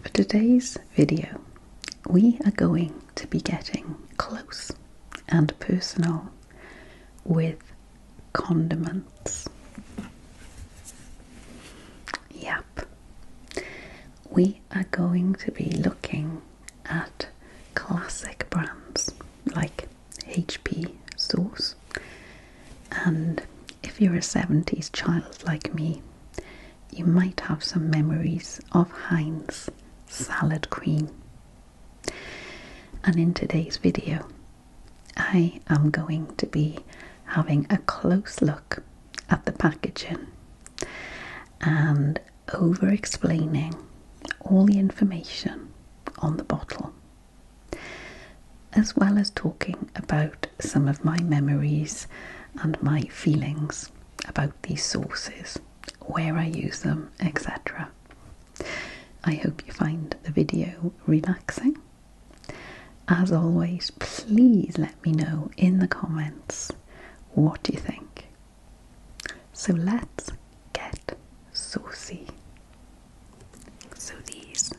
For today's video, we are going to be getting close and personal with condiments. Yep, we are going to be looking at classic brands like HP Sauce, and if you're a 70s child like me, you might have some memories of Heinz salad cream. And in today's video, I am going to be having a close look at the packaging and over explaining all the information on the bottle, as well as talking about some of my memories and my feelings about these sources, where I use them, etc. I hope you find the video relaxing. As always, please let me know in the comments what you think. So let's get saucy. So these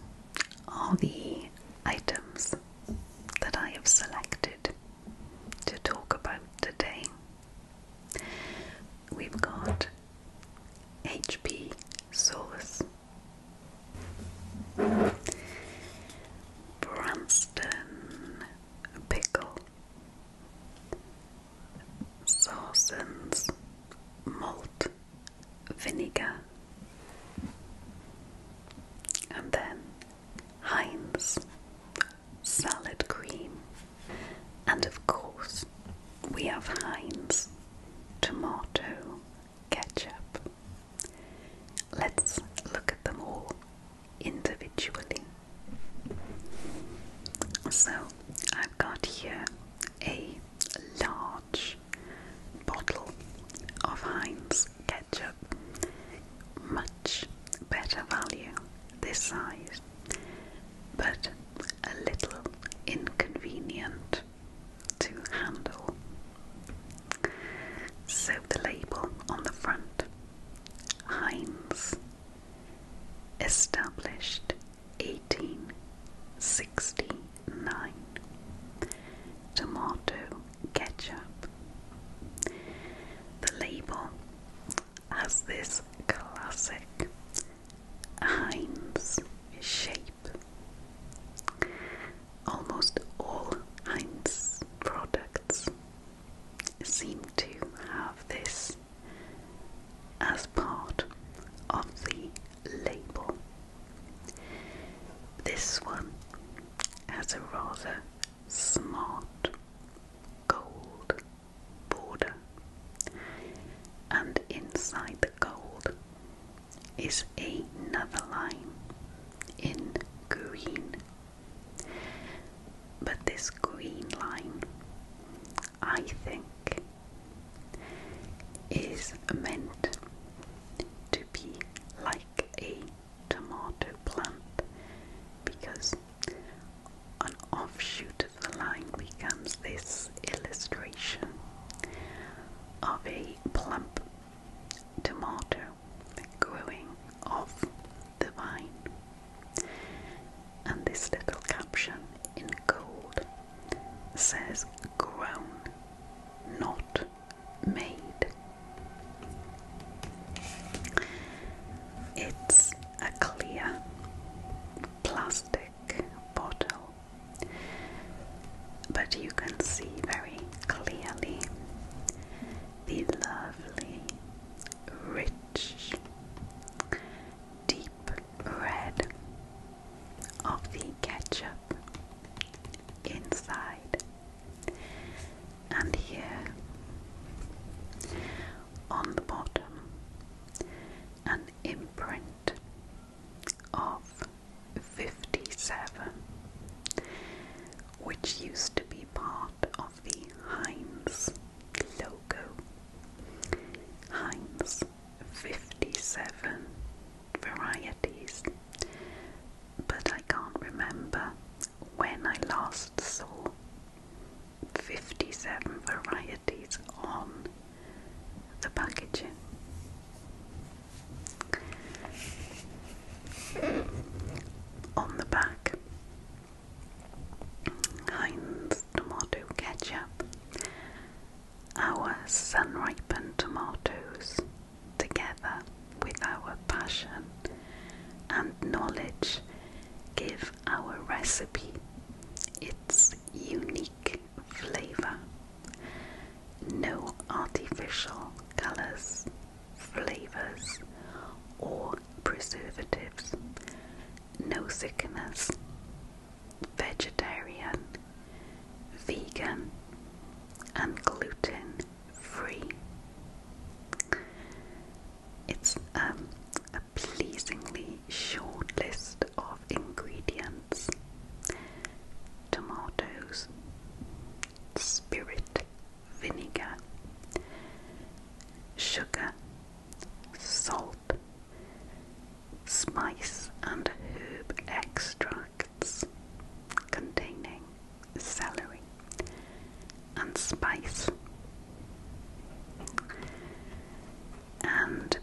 are the items that I have selected to talk about today. We've got HP sauce, Branston Pickle, Sawson's Malt Vinegar and then Heinz salad cream. And of course, we have Heinz tomato ketchup. Let's look at them all individually. So, I've got here a large bottle of Heinz ketchup. Much better value this size, but a little inconvenient to handle. So the label on the front Heinz, established 1860 9. Tomato ketchup. The label has this classic Heinz shape. Almost all Heinz products seem to have this as part of the label. This one has a rather smart gold border, and inside the gold is another line in green. But this green line, I think, is meant. To be like a tomato plant because an offshoot of the line becomes this illustration of a plump tomato growing off the vine. And this little caption in gold says grown, not made. It's a clear plastic bottle, but you can see very clearly the lovely, rich, deep red of the ketchup inside and here on the bottom an imprint of 57 which used to be part of the Heinz logo. Heinz 57 varieties but I can't remember when I last saw 57 varieties on the packaging. On the back, Heinz tomato ketchup, our sun ripened tomatoes together with our passion and knowledge give our recipe its unique flavor. No artificial colors, flavors, or preservatives, no sickness, vegetarian, vegan, and gluten free. It's um, a pleasingly short list of ingredients tomatoes, spirit vinegar, sugar, salt, spice and herb extracts, containing celery and spice. And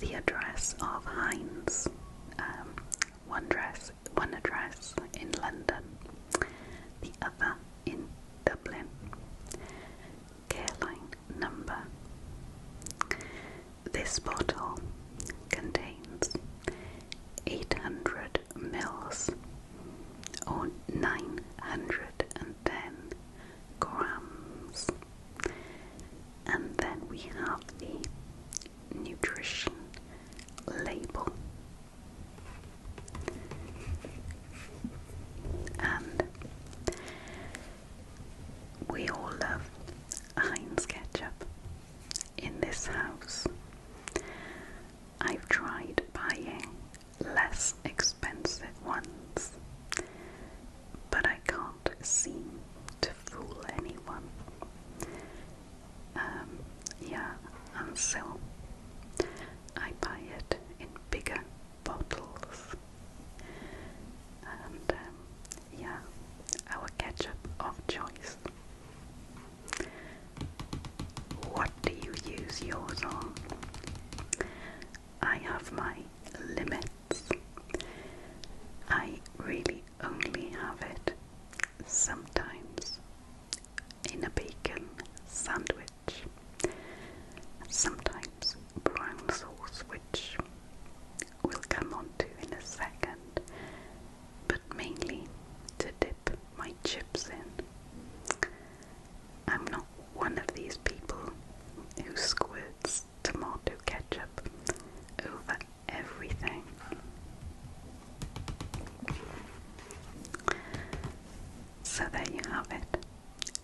the address of Heinz, um, one dress, one address in London, the other in Dublin. Caroline number. This bottle contains 800 mils or 910 grams. And then we have the nutrition label. And we all love Heinz ketchup in this house. I've tried buying less expensive ones, but I can't seem to fool anyone. Um, yeah, and so I buy it in bigger bottles and um, yeah, our ketchup of choice. What do you use yours on? I have my limits. I really only have it sometimes in a bacon sandwich, sometimes brown sauce, which we'll come on to in a second, but mainly to dip my chips in. I'm not one of these people who squirts tomato ketchup over everything. So there you have it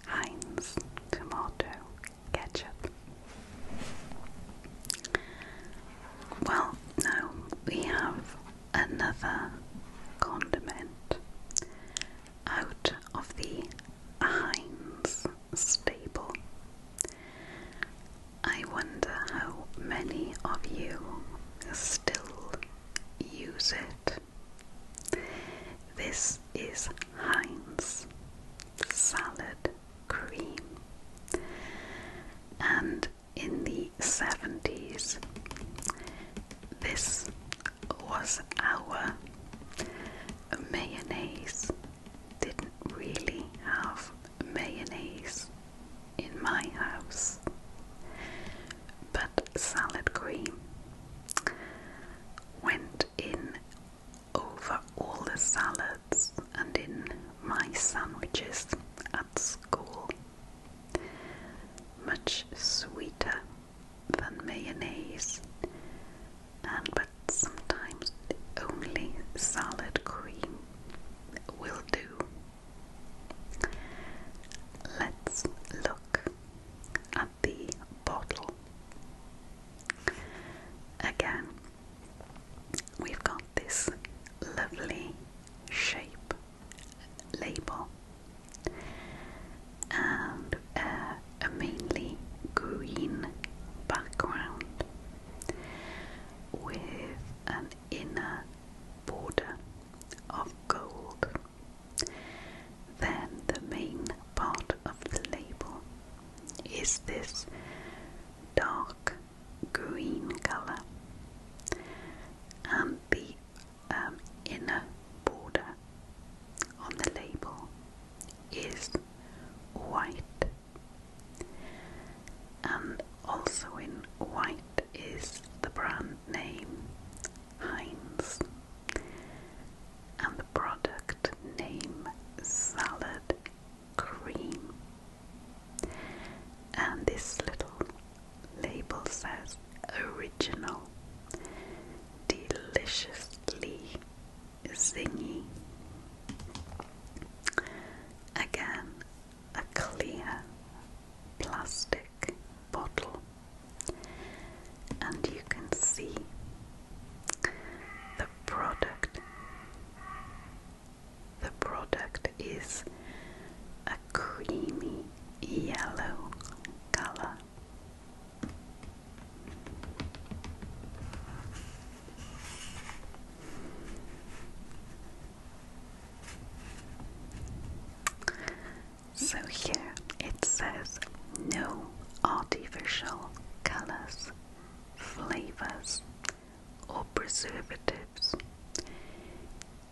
Heinz tomato ketchup. Well, now we have another condiment out of the Heinz stable. I wonder how many of you still use it. This is Heinz salad cream. And in the 70s, this was our mayonnaise. Didn't really have mayonnaise in my house, but salad cream went in over all the salads and in my sandwiches at school. Much sweeter than mayonnaise, and but sometimes only salad cream will do. Let's look at the bottle. Again, we've got this lovely shape label and uh, a mainly green background with an inner border of gold. Then the main part of the label is this dark green color, and the um, inner border on the label is white, and also in white is the brand name Heinz and the product name Salad cream. And this little label says original, deliciously zingy. Again, a clear plastic bottle, and you can see the product. The product is a creamy yellow color. So here it says no artificial colors flavors or preservatives.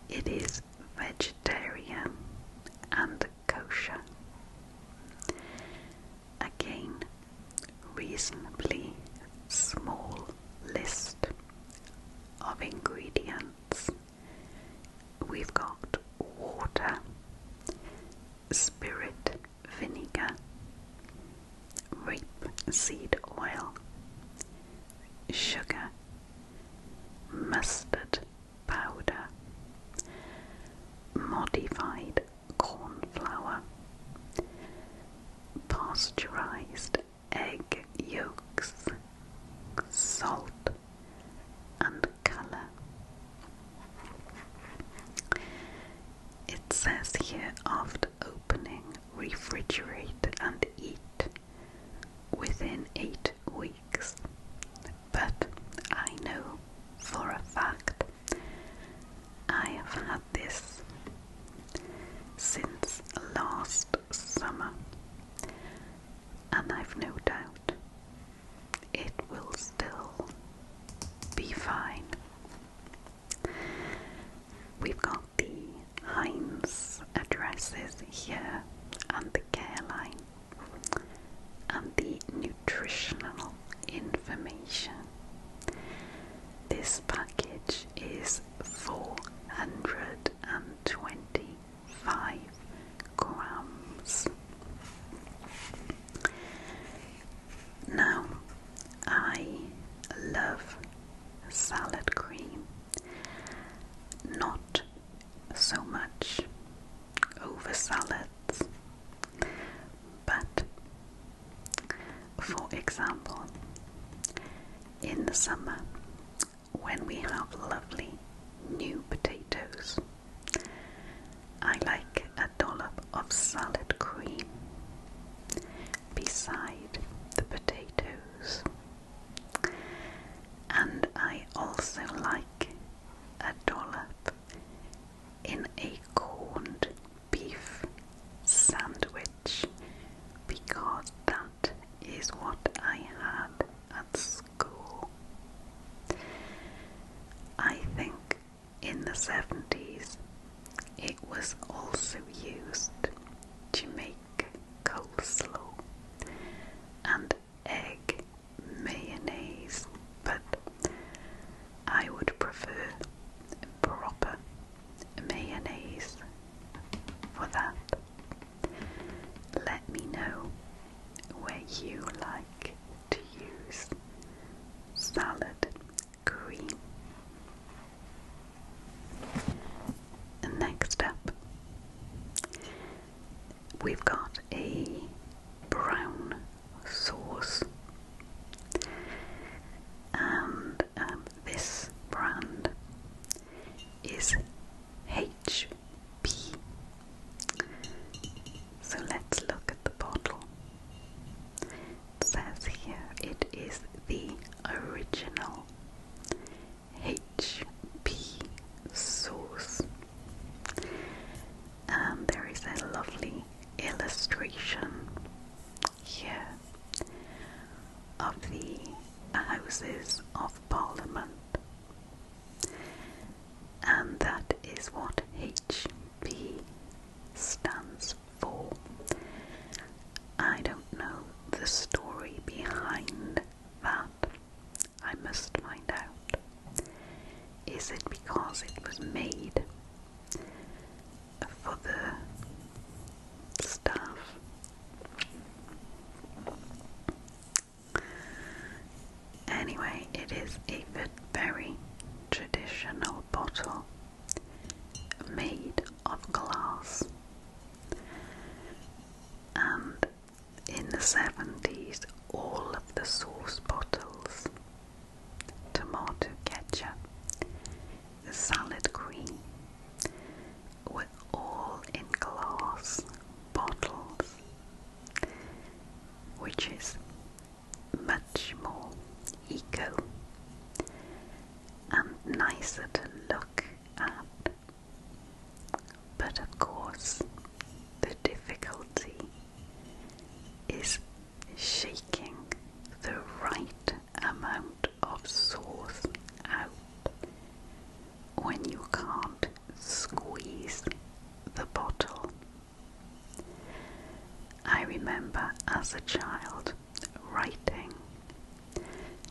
It is vegetarian and kosher. Again, reasonably small list of ingredients. We've got water, spirit, vinegar, rapeseed oil, sugar, mustard powder, modified corn flour, pasteurized egg yolks, salt, and color. It says here after opening, refrigerate and eat within eight weeks. But I know for a fact I have had this since last summer, and I've no doubt it will still be fine. We've got the Heinz addresses here and the care line and the nutritional information. This package is four hundred and twenty five grams. Now, I love salad cream, not so much over salads, but for example, in the summer, when we have lovely new potatoes, I like a dollop of salad cream beside the potatoes. And I also like a dollop in a corned beef sandwich because that is what I had at school. I think in the 70s, it was also used to make coleslaw and egg mayonnaise, but I would prefer proper mayonnaise for that. Let me know where you like to use salad cream. next up, we've got a brown sauce, and um, this brand is HP. So let's look at the bottle. It says here it is the original HP sauce. And there is a lovely illustration here of the Houses of Parliament. And that is what HP stands for. I don't know the story behind that. I must find out. Is it because it was made for the staff? Anyway, it is a very traditional bottle made of glass. And in the 70s, all of the sauce bottles, tomato ketchup, salad cream, were all in glass bottles, which is much more eco and nicer to look at. But of course, the difficulty is shaking the right amount of sauce out when you can't squeeze the bottle I remember as a child writing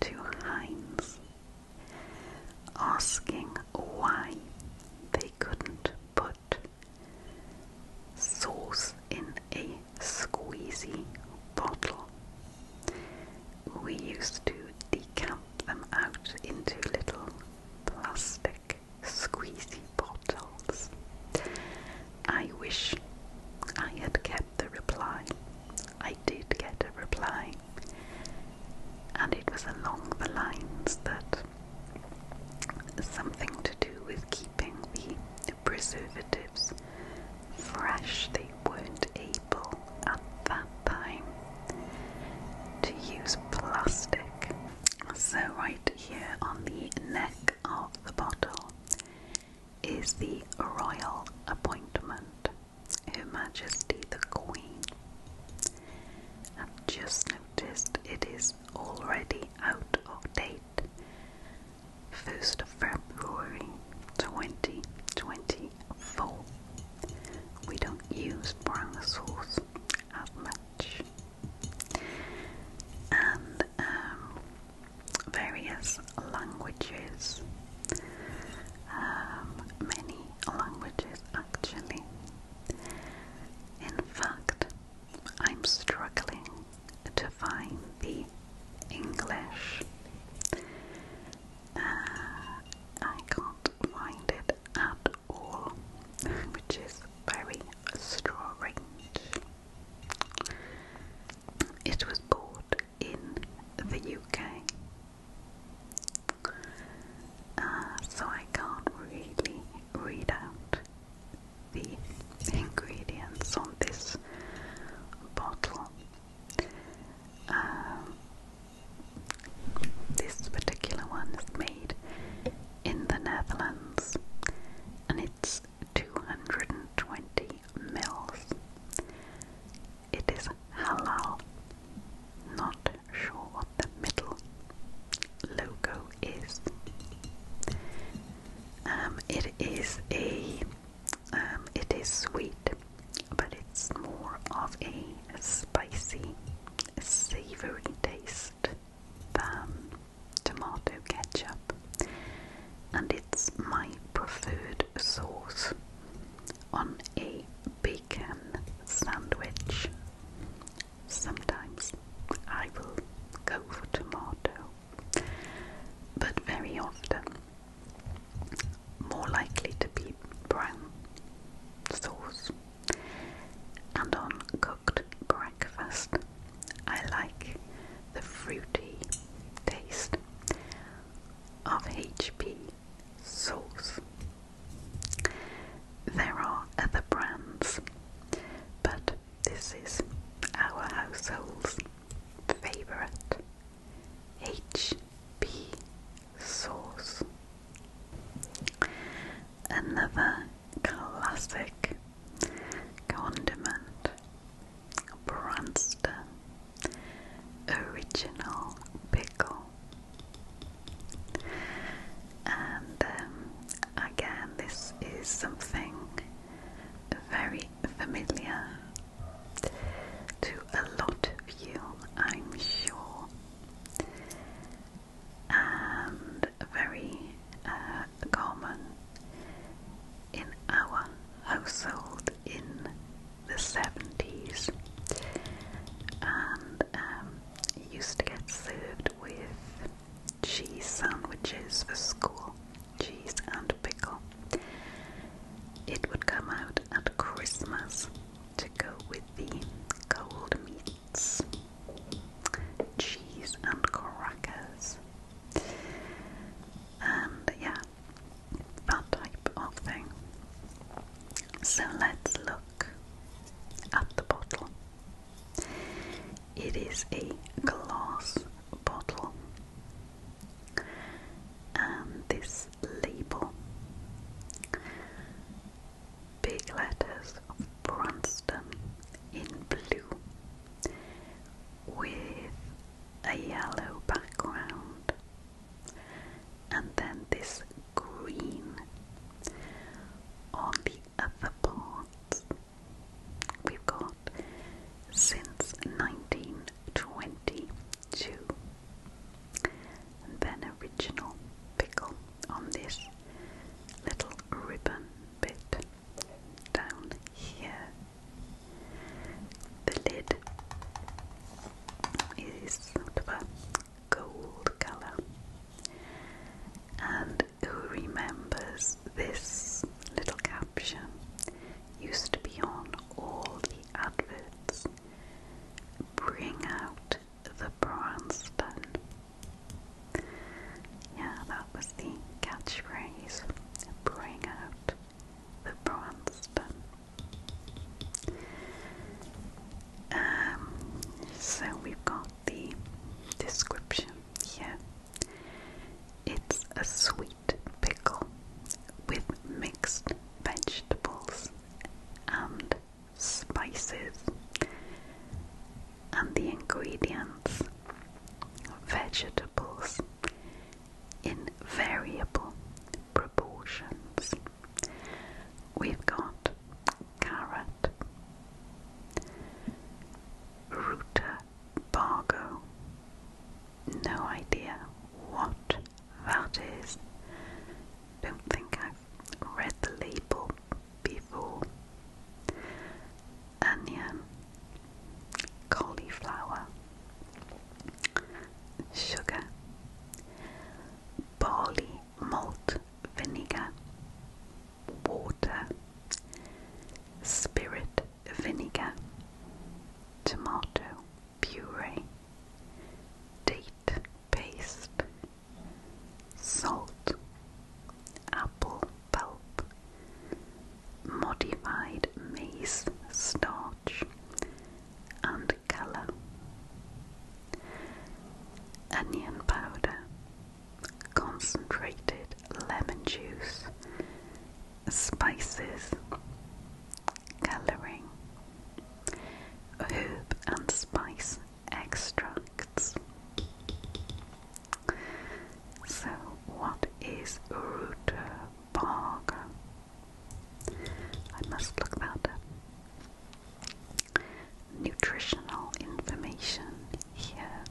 to Heinz asking why they couldn't put sauce in a squeezy bottle. We used to decamp them out into little plastic squeezy bottles. I wish I had kept the reply. I did get a reply, and it was along the lines that something to do with keeping the preservatives fresh. They weren't able at that time to use plastic, so I here on the neck of the bottle is the royal appointment, Her Majesty the Queen. I've just noticed it is already out of date. 1st of February 2024. We don't use brown sauce as much. And um, various languages, um, many languages actually. In fact, I'm struggling to find the English. Uh, I can't find it at all, which is very strange. It was bought in the UK, uh, so I can't really read out the ingredients on this bottle. Um, this particular one is made in the Netherlands, and it's 220 mils. It is halal. Not sure what the middle logo is. Um, it is a, um, it is sweet, but it's more of a spicy, savory taste um, tomato ketchup, and it's my preferred sauce on a bacon sandwich. Sometimes I will go for tomato, but very often, more likely to be brown sauce and on cooked breakfast. I like the fruity taste of HP sauce. There are other brands, but this is our household's favourite HP sauce. Another classic condiment, Branston Original Pickle. And um, again, this is something very familiar to a lot of you, I'm sure and very uh, common in our household in the 70s. And um, used to get served with cheese sandwiches for school, cheese and pickle. It would come out at Christmas to go with the cold meat cheese and crackers, and yeah, that type of thing. So let's look at the bottle. It is a glass bottle, and this label big letters of Brunston in blue with a yellow background, and then this green on the other part, We've got since 1922. And then original pickle on this little ribbon bit down here. The lid is of a gold colour. And who remembers this little caption? Used to be on all the adverts. Bring out the bronze button. Yeah, that was the catchphrase. Bring out the bronze button. Um, so we've got the description here. It's a sweet pickle with mixed vegetables and spices, and the ingredients, vegetables, in variable proportions. We've got carrot, ruta bargo, no idea what that is. Don't think i read the label before. Onion, um, cauliflower, sugar, barley malt vinegar, water, spirit vinegar, tomato puree, date paste, salt, apple pulp, modified maize starch, and colour, onion powder, concentrated lemon juice, spices, colouring, herb and spice extracts. So, what is root bark? I must look that Nutritional information here.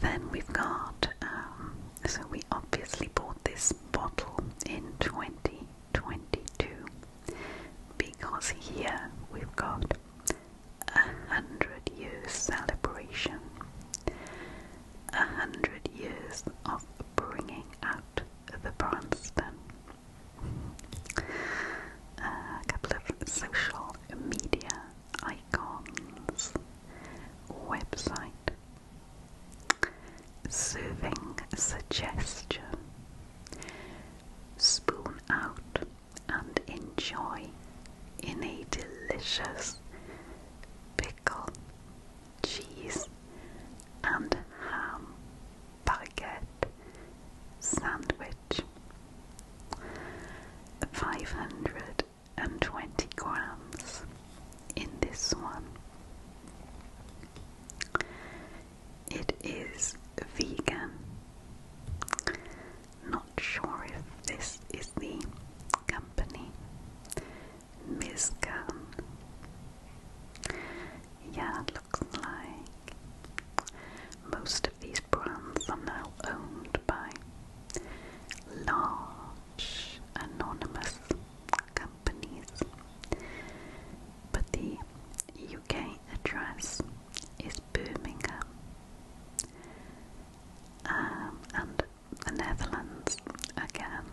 Then we've got, um, so we obviously bought this bottle in 20 22 because here we've got a hundred years celebration, a hundred years of bringing out the Bronston. A couple of social media icons, website, soothing suggestion. Spoon out and enjoy in a delicious pickle, cheese, and ham baguette sandwich. 520 grams in this one. It is vegan. Not sure if this is the company. Mizcan. Yeah, looks like most of these brands are now owned by large anonymous companies. But the UK address is Birmingham, um, and the Netherlands again.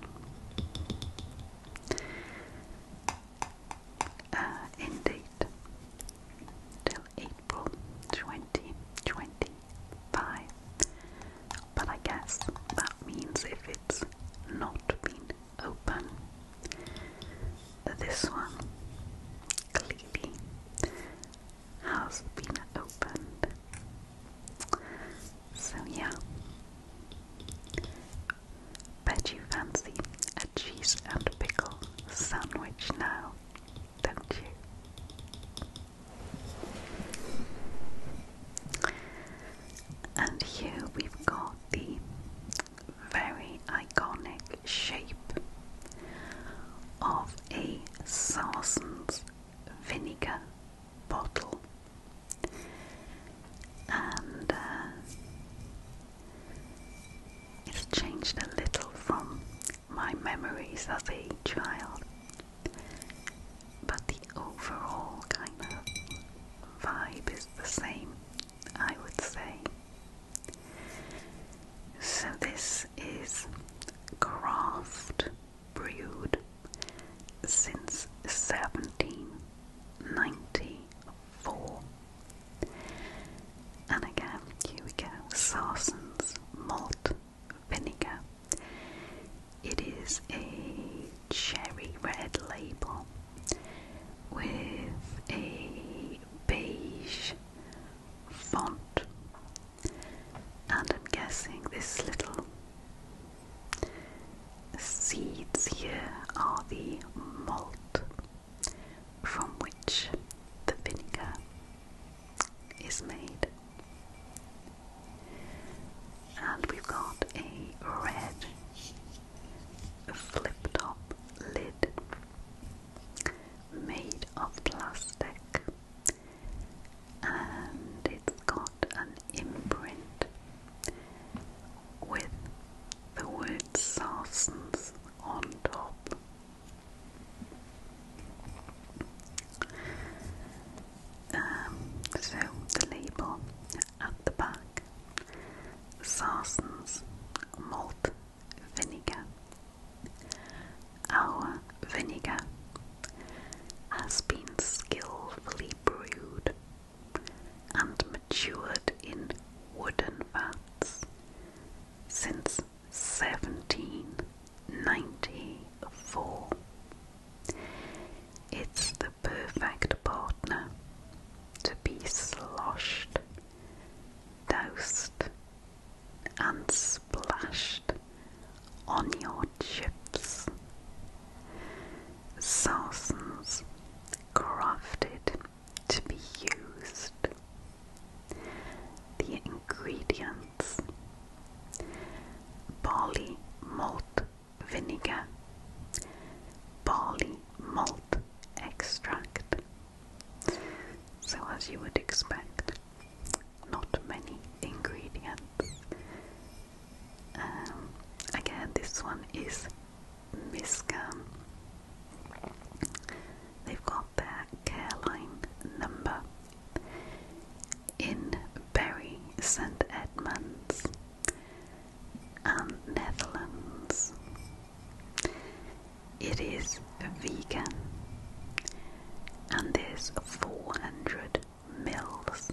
Uh, in date till April 2025. But I guess that means if it's not been open. This one clearly has been opened. So, yeah. Bet you fancy a cheese and pickle sandwich now, don't you? And here we've got the very iconic shape of a Sarsen's vinegar bottle. And uh, it's changed a little from my memories as a child, but the overall kind of vibe is the same, I would say. So, this is craft brewed since 1794. And again, here we go Sarsen's malt vinegar. It is a cherry red label with a beige font, and I'm guessing this little seeds here are the malt from which the vinegar is made and we've got a red flip top lid made of plastic and it's got an imprint with the word Sarsens on top. Um, so the label at the back egg, sarsens, malt vinegar. Our vinegar has been skillfully brewed and matured in wooden vats since 1794. It's the perfect partner to be sloshed, doused, and splashed on your chips. Sarsen's crafted to be used. The ingredients barley malt vinegar, barley malt extract. So, as you would expect, not many ingredients. Um, again, this one is Miscam. They've got their Careline number in Berry St Edmunds and um, Netherlands. It is vegan and there's 400 mils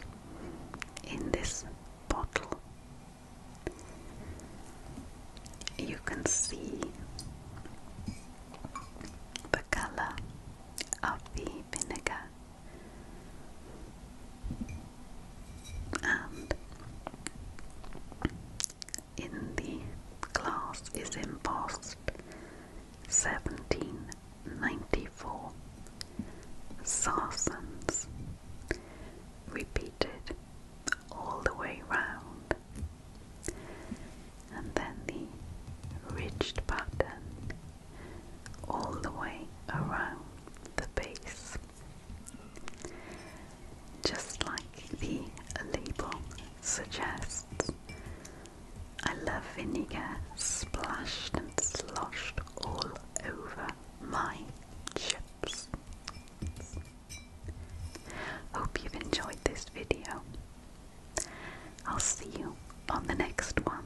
in this bottle. You can see the color of the vinegar and in the class is embossed 1794 saracens repeated all the way round and then the ridged pattern all the way around the base, just like the label suggests. I love vinegar splashed and sloshed all over my chips. Hope you've enjoyed this video. I'll see you on the next one.